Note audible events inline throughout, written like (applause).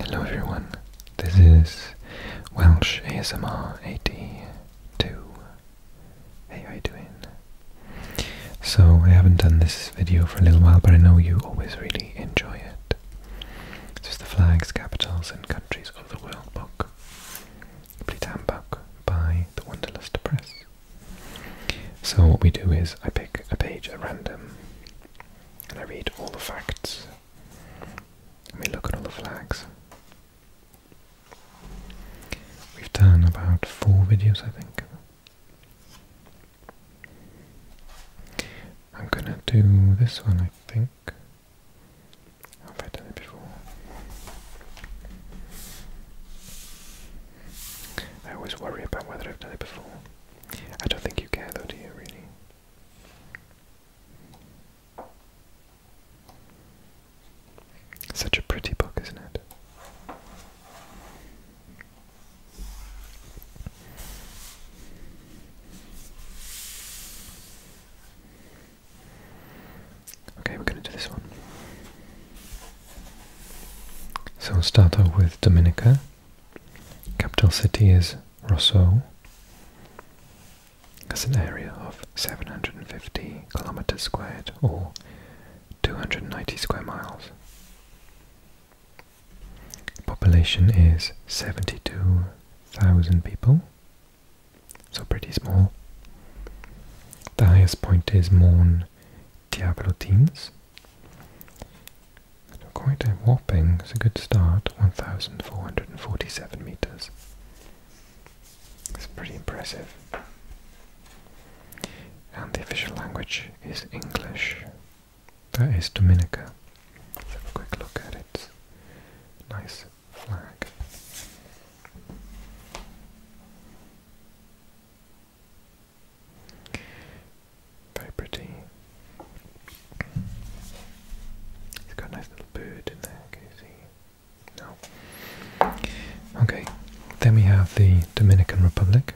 Hello everyone, this is Welsh ASMR AD two. how you doing? So, I haven't done this video for a little while, but I know you always really enjoy it. It's the flags, capitals and countries of the world book. Complete handbook by the Wanderlust Press. So what we do is I pick a page at random and I read all the facts and we look at all the flags. We've done about four videos, I think. I'm gonna do this one, I think. Have I done it before? I always worry about whether I've done it before. I don't think you care though, do you, really? Such a pretty book, isn't it? Okay, we're going to do this one. So we'll start off with Dominica. Capital city is Roseau. Has an area of 750 kilometers squared or 290 square miles. Population is 72,000 people, so pretty small. The highest point is Mont Diablotines, Quite a whopping, it's a good start, 1,447 meters. It's pretty impressive. And the official language is English. That is Dominica. Let's have a quick look at its nice flag. Very pretty. It's got a nice little bird in there, Okay, then we have the Dominican Republic.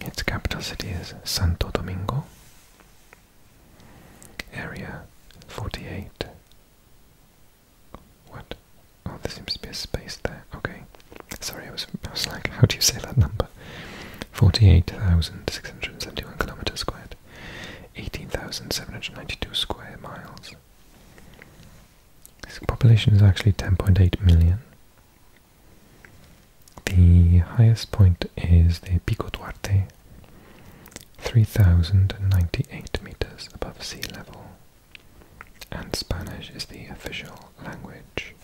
Its capital city is Santo Domingo. Area 48. What? Oh, there seems to be a space there. Okay. Sorry, I was, I was like, how do you say that number? 48,671 kilometers squared. 18,792 square miles. This population is actually 10.8 million. The highest point is the Pico Duarte, 3,098 meters above sea level and Spanish is the official language.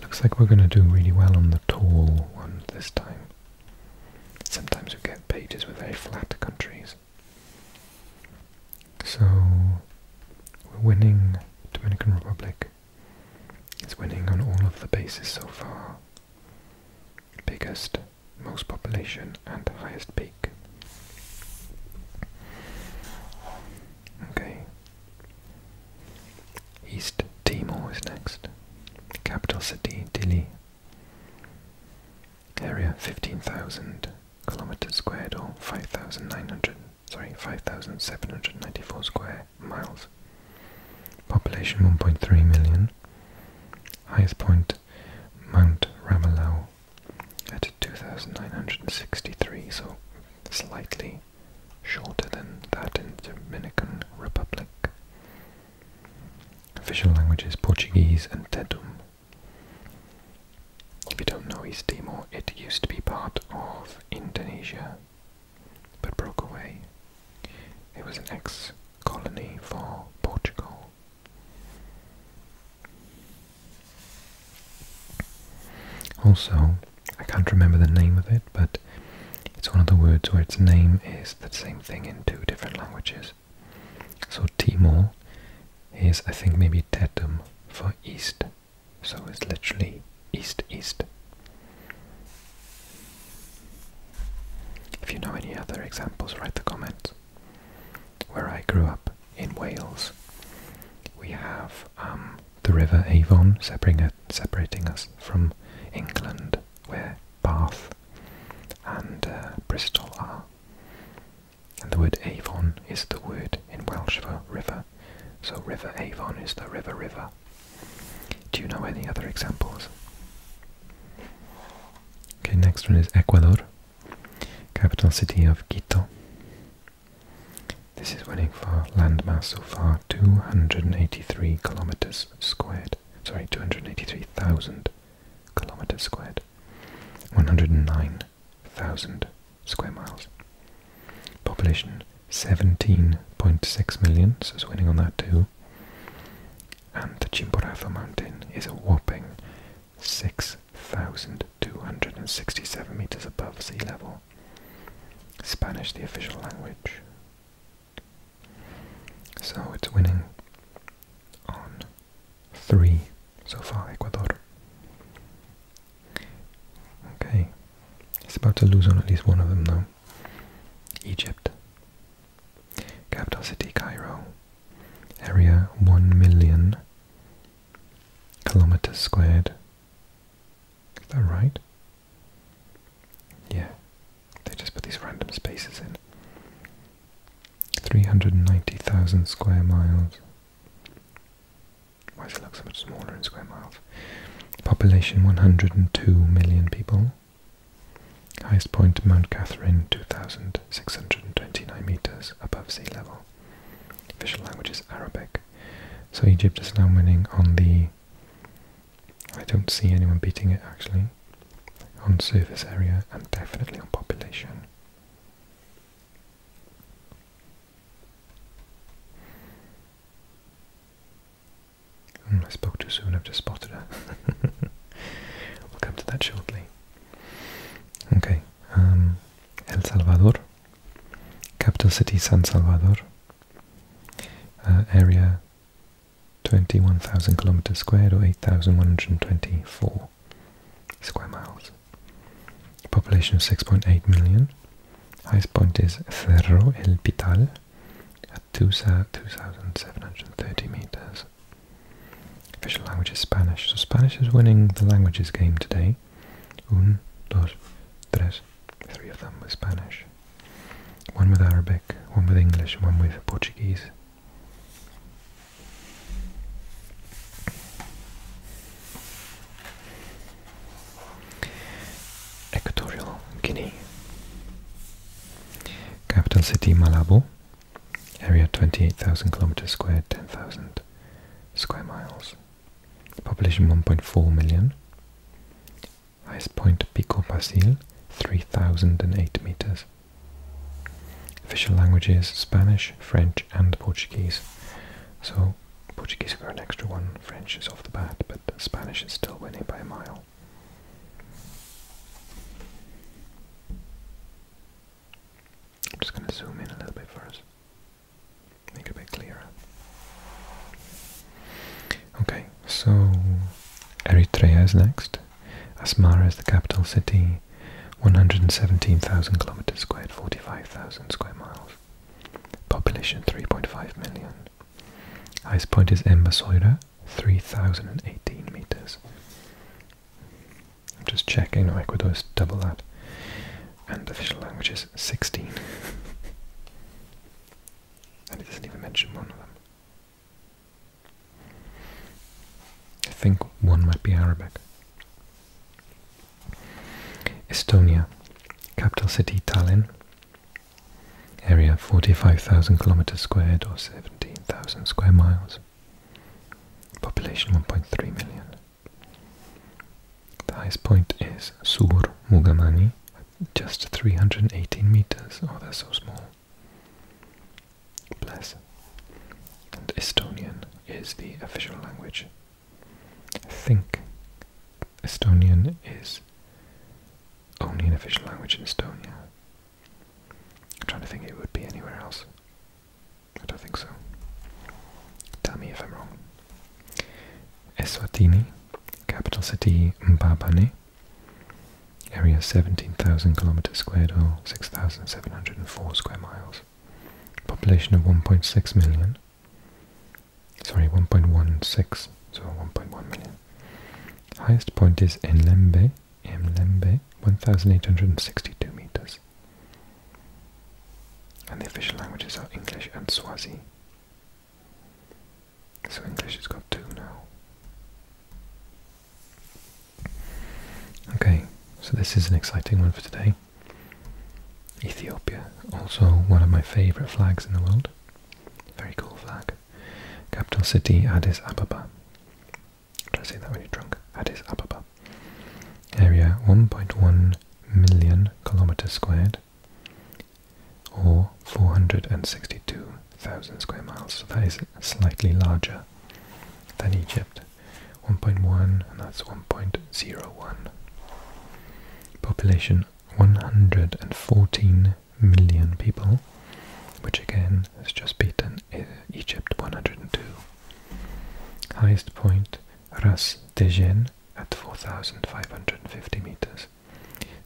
looks like we're going to do really well on the tall one this time. Sometimes we get pages with very flat countries. So we're winning. Dominican Republic is winning on all of the bases so far biggest, most population and highest peak. Okay. East Timor is next. Capital city Dili. Area 15,000 kilometers squared or 5,900 sorry 5,794 square miles. Population 1.3 million. Highest point Mount Ramelau at 2,963, so slightly shorter than that in the Dominican Republic. Official languages Portuguese and Tetum. If you don't know East Timor, it used to be part of Indonesia, but broke away. It was an ex-colony for Portugal. Also, I can't remember the name of it, but it's one of the words where its name is the same thing in two different languages. So Timor is, I think, maybe Tetum for east, so it's literally east-east. If you know any other examples, write the comments where I grew up in Wales. We have um, the River Avon separating us from England, where Bath and uh, Bristol are. And the word Avon is the word in Welsh for river, so River Avon is the river river. Do you know any other examples? Okay, next one is Ecuador, capital city of Quito. This is winning for landmass so far 283 kilometers squared. Sorry, 283,000 kilometers squared. 109,000 square miles. Population 17.6 million, so it's winning on that too and the Chimborazo mountain is a whopping 6,267 meters above sea level. Spanish, the official language. So it's winning on three so far, Ecuador. Okay, it's about to lose on at least one of them though. Egypt. Capital city Cairo. Area 1 million kilometers squared. Is that right? Yeah. They just put these random spaces in. 390,000 square miles. Why does it look so much smaller in square miles? Population 102 million people. Highest point Mount Catherine, 2,629 meters above sea level. Official language is Arabic. So Egypt is now winning on the. I don't see anyone beating it actually. On surface area and definitely on population. Hmm, I spoke too soon, I've just spotted her. (laughs) we'll come to that shortly. Okay, um, El Salvador, capital city San Salvador, uh, area 21,000 kilometers squared or 8,124 square miles. Population of 6.8 million. Highest point is Cerro El Pital at 2,730 meters. Official language is Spanish, so Spanish is winning the languages game today. Un, dos, tres. Three of them with Spanish. One with Arabic, one with English, one with Portuguese. Equatorial Guinea. Capital city Malabo. Area 28,000 kilometers squared, 10,000 square miles. Population 1.4 million. Highest point Pico Pasil, 3,008 meters. Official languages Spanish, French, and Portuguese. So Portuguese got an extra one, French is the bat, but Spanish is still winning by a mile. I'm just going to zoom in a little bit first, make it a bit clearer. Okay, so Eritrea is next. Asmara is the capital city, 117,000 kilometers squared, 45,000 square miles. Population 3.5 million. Highest point is Embasoida, 3,018 meters. I'm just checking, Ecuador is double that. And official language is 16. (laughs) and it doesn't even mention one of them. I think one might be Arabic. Estonia, capital city Tallinn, area 45,000 kilometers squared or 17,000 square miles. Population 1.3 million. The highest point is Sur Mugamani, just 318 meters. Oh, they're so small. Bless. And Estonian is the official language think Estonian is only an official language in Estonia. I'm trying to think it would be anywhere else. I don't think so. Tell me if I'm wrong. Eswatini, capital city Mbabane, area 17,000 kilometers squared or 6,704 square miles, population of 1.6 million. Sorry, 1.16, so 1.1 million. Highest point is Enlembe, Mlembe, 1,862 meters. And the official languages are English and Swazi. So English has got two now. Okay, so this is an exciting one for today. Ethiopia, also one of my favorite flags in the world. Very cool flag. Capital city Addis Ababa. Try to say that when you're drunk. Addis Ababa. Area 1.1 million kilometers squared, or 462,000 square miles. So that is slightly larger than Egypt. 1.1 and that's 1.01 population 114 million people, which again has just beaten uh, Egypt 102. Highest point Ras Degen at 4,550 meters,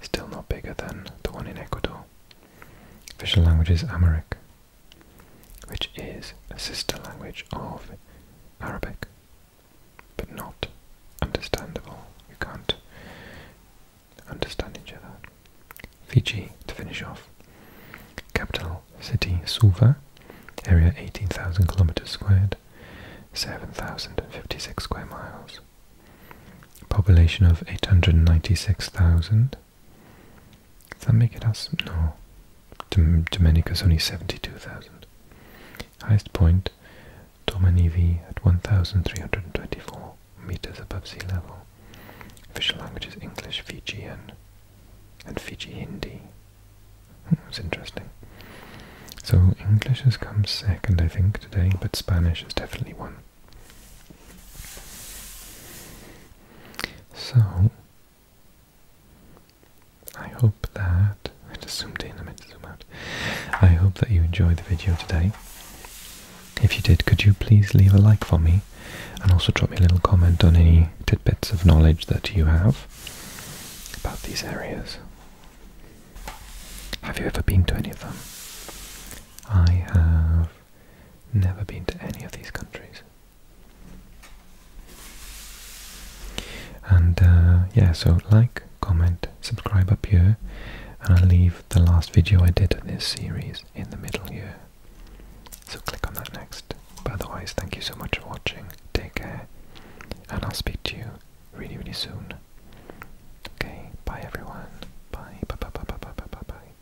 still not bigger than the one in Ecuador. Official language is Amharic, which is a sister language of Arabic but not understandable. You can't understand each other. Fiji to finish off. Capital city Suva, area 18,000 kilometers squared, 7,056 square miles. Population of 896,000. Does that make it us? No. Domenicus only 72,000. Highest point, Domanivi at 1,324 meters above sea level. Official language is English, Fijian, and Fiji Hindi. Hmm, that's interesting. So English has come second, I think, today, but Spanish is definitely one. So I hope that I just zoomed in, I meant to zoom out. I hope that you enjoyed the video today. If you did, could you please leave a like for me and also drop me a little comment on any tidbits of knowledge that you have about these areas? Have you ever been to any of them? I have never been to any of these countries. And uh, yeah, so like, comment, subscribe up here, and I'll leave the last video I did of this series in the middle here. So click on that next. But otherwise, thank you so much for watching. Take care, and I'll speak to you really, really soon. Okay, bye everyone. Bye, bye, bye, bye, bye, bye, bye, bye.